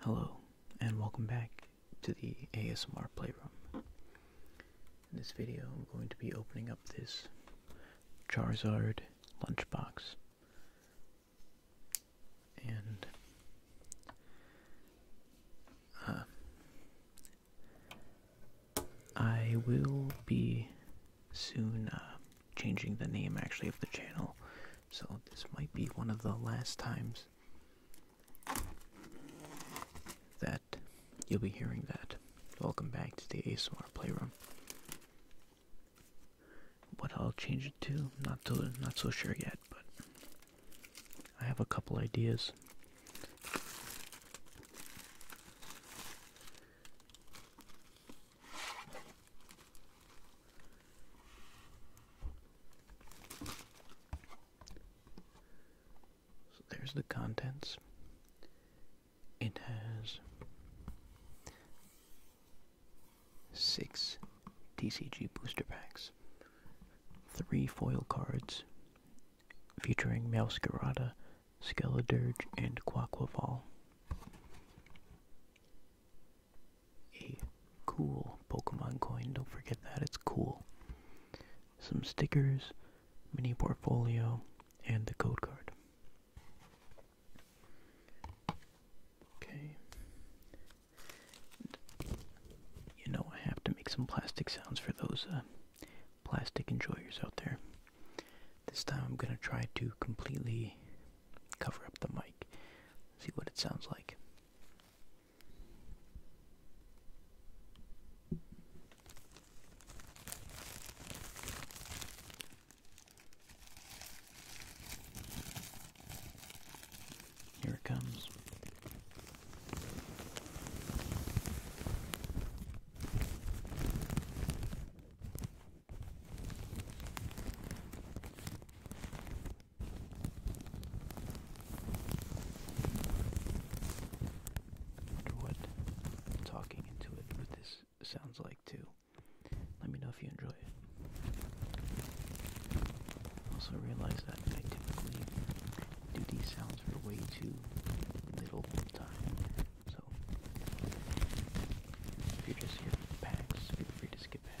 Hello, and welcome back to the ASMR Playroom. In this video, I'm going to be opening up this Charizard lunchbox. And uh, I will be soon uh, changing the name actually of the channel, so this might be one of the last times that you'll be hearing that. Welcome back to the ASMR Playroom. What I'll change it to, not to, not so sure yet, but I have a couple ideas. So there's the contents. It has six TCG booster packs, three foil cards featuring Meowscarada, Skeledurge, and Quaquaval a cool Pokemon coin. Don't forget that, it's cool. Some stickers, mini portfolio, and the code card. Okay. You know, I have to make some plastic sounds for those uh, plastic enjoyers out there. This time I'm going to try to completely cover up the mic, see what it sounds like. Here it comes. Wonder what talking into it with this sounds like too. Let me know if you enjoy it. Also realize that I typically do these sounds for way too little time. So if you're just here for packs, feel free to skip ahead.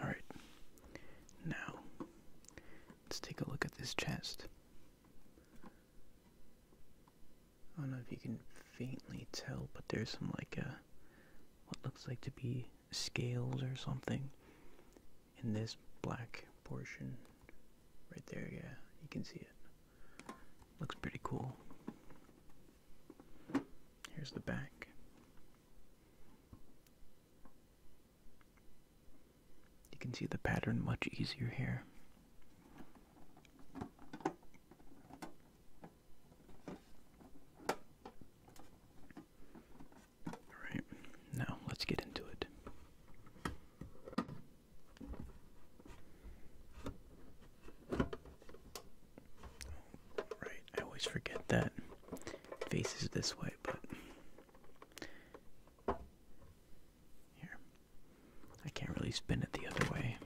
All right. Now, let's take a look at this chest. I don't know if you can faintly tell, but there's some like a uh, what looks like to be scales or something in this black portion right there yeah you can see it looks pretty cool here's the back you can see the pattern much easier here all right now let's get into it Right, I always forget that faces this way, but here. I can't really spin it the other way.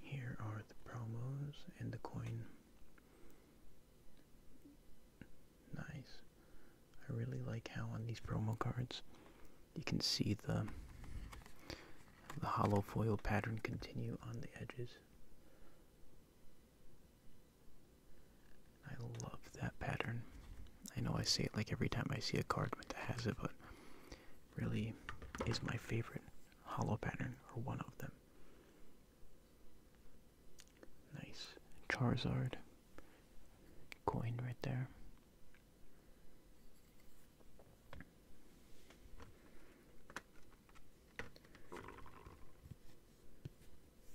Here are the promos and the coin. Nice. I really like how on these promo cards you can see the the hollow foil pattern continue on the edges. I love that pattern. I know I say it like every time I see a card that has it, but really is my favorite hollow pattern or one of them. Nice Charizard coin right there.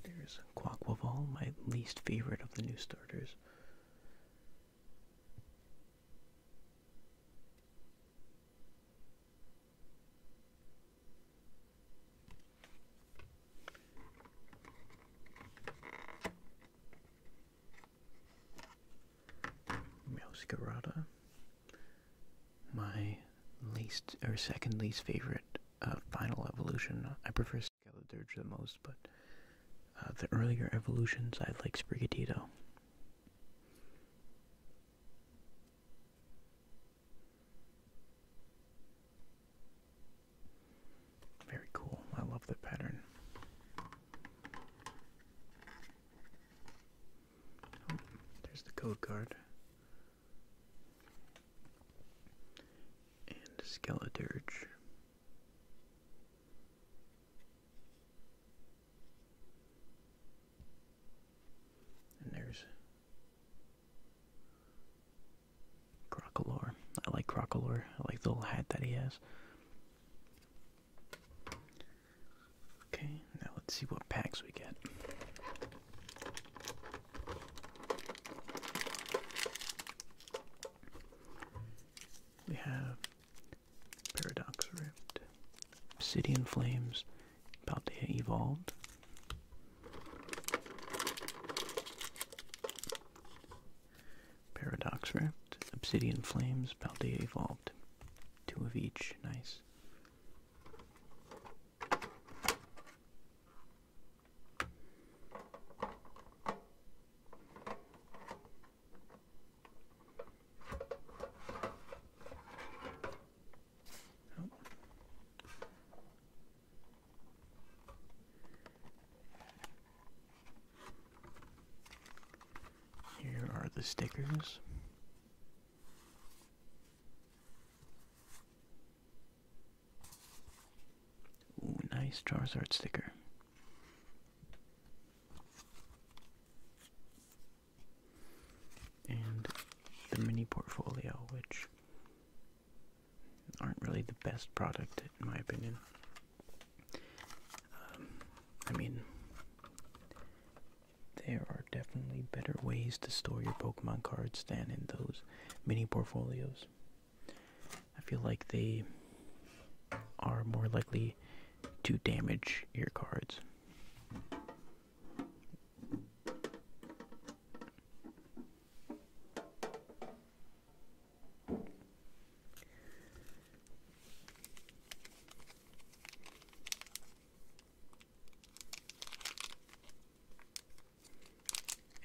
There's Quaquaval, my least favorite of the new starters. Meowscarada, my least or second least favorite uh, final evolution. I prefer Skeledirge the most, but uh, the earlier evolutions I like Sprigatito. Very cool. I love the pattern. Oh, there's the code card. And Skeleturge. And there's Crocolore. I like Crocolore. I like the little hat that he has. Okay, now let's see what packs we get. We have Paradox Rift, Obsidian Flames, about evolved. Paradox Rift, Obsidian Flames, Paldea Evolved. Two of each, nice. Here are the stickers. Ooh, nice Charizard sticker. And the mini portfolio, which aren't really the best product, in my opinion. Um, I mean, there are definitely better ways to store your Pokemon cards than in those mini portfolios. I feel like they are more likely to damage your cards.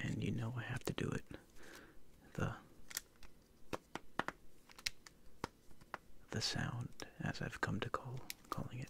And you know I have to do it the the sound as I've come to call calling it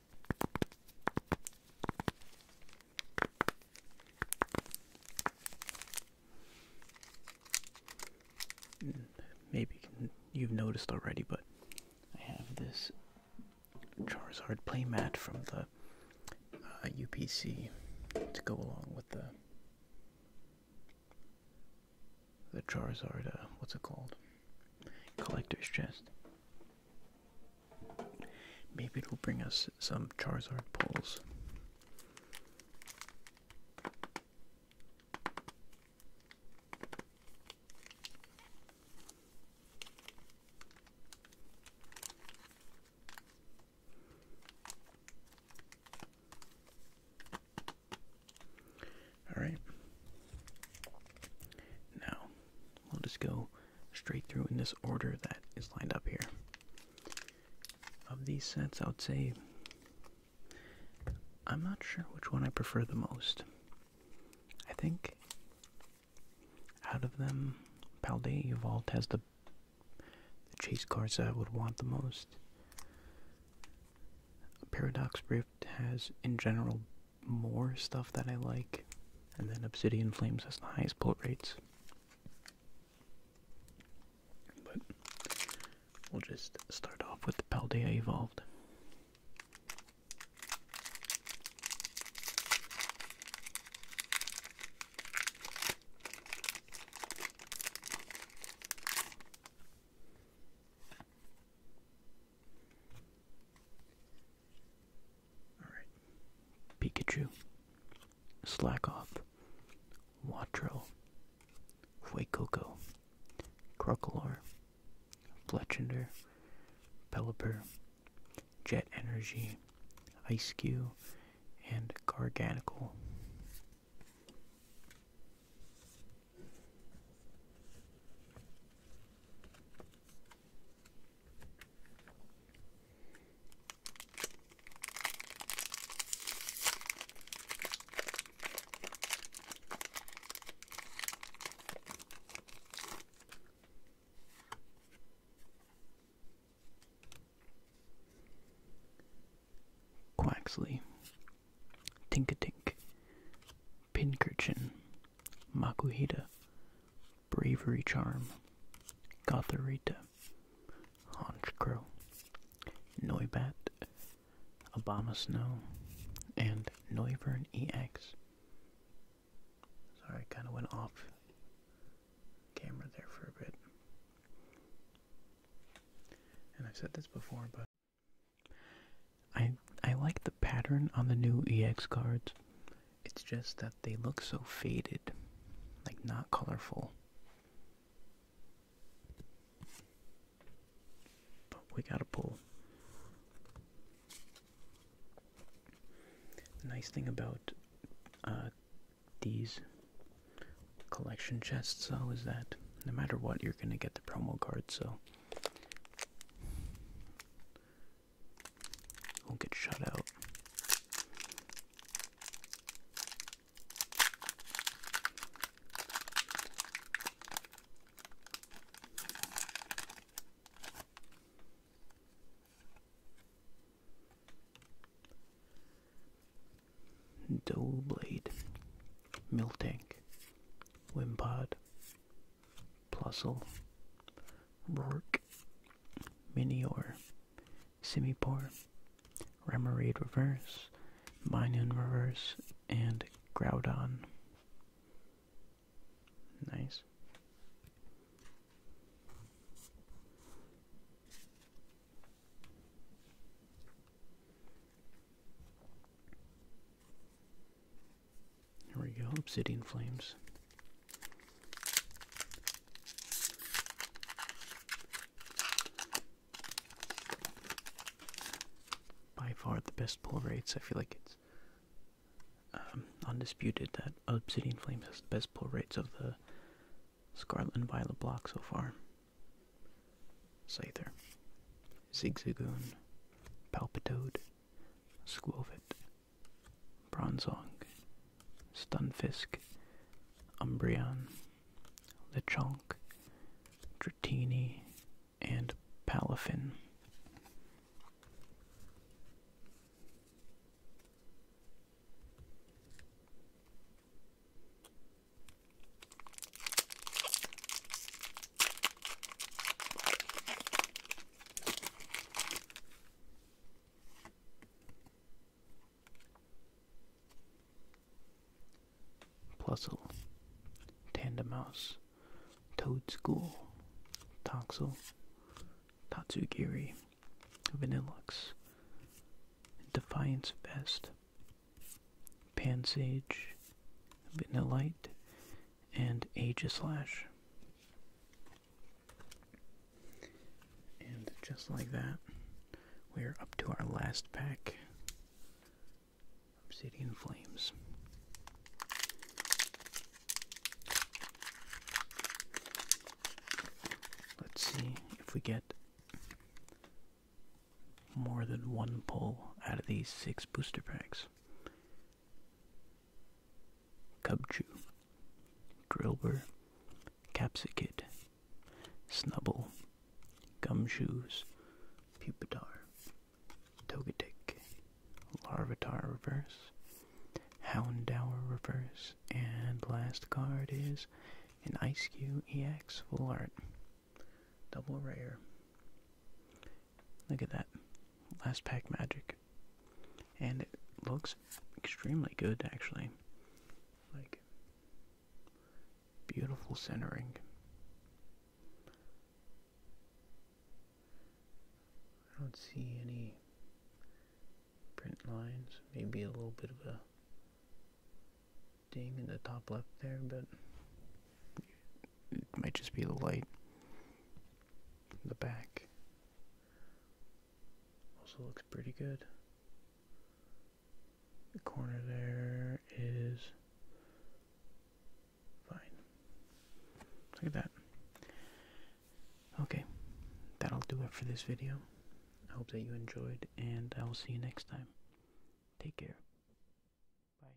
Maybe you've noticed already, but I have this Charizard playmat from the UPC uh, to go along with the the Charizard. Uh, what's it called? Collector's chest. Maybe it'll bring us some Charizard pulls. All right. Now, I'll just go straight through in this order that is lined up here. Of these sets, I would say I'm not sure which one I prefer the most. I think out of them, Paldea Evolved has the, the chase cards that I would want the most. Paradox Rift has, in general, more stuff that I like, and then Obsidian Flames has the highest bolt rates. But we'll just start off with the Paldea Evolved. Alright. Pikachu. Slack off. Watro. Fuecoco. Crocolore. Fletchender. Pelipper. Jet Energy. Ice Cube. And Garganical. Quaxley, Tinkatink, Pinkerchin, Makuhita, Bravery Charm, Gotharita, Honchcrow, Noibat, Obama Snow, and Noivern EX. Sorry, I kind of went off camera there for a bit. And I've said this before, but I I like the pattern on the new EX cards. It's just that they look so faded, like not colorful. But we got to pull. The nice thing about uh, these collection chests, though, is that no matter what, you're going to get the promo card, so won't get shut out. Dole Blade, tank, Wimpod, Plusle, Rourke, Minior, Simipour, Remoraid Reverse, Minun Reverse, and Groudon. Nice. There we go, obsidian flames. By far the best pull rates. I feel like it's um, undisputed that obsidian flames has the best pull rates of the scarlet violet block so far. Scyther, Zigzagoon, Palpitoad, Squovit, Bronzong, Stunfisk, Umbreon, Lechonk, Dratini, and Palafin. Plusle, Mouse, Toad School, Toxel, Tatsugiri, Vanillux, Defiance Vest, Pansage, Vanillite, and Aegislash. And just like that, we're up to our last pack, Obsidian Flames. Let's see if we get more than one pull out of these six booster packs. Cubchew, Drillbur, Capsicid, Snubble, Gumshoes, Pupitar, Togetic, Larvitar Reverse, Houndour Reverse, and last card is an Ice Q EX Full Art. Double rare. Look at that. Last pack magic. And it looks extremely good, actually. Like, beautiful centering. I don't see any print lines. Maybe a little bit of a ding in the top left there, but it might just be the light. The back also looks pretty good. The corner there is fine. Look at that. Okay, that'll do it for this video. I hope that you enjoyed, and I will see you next time. Take care. Bye.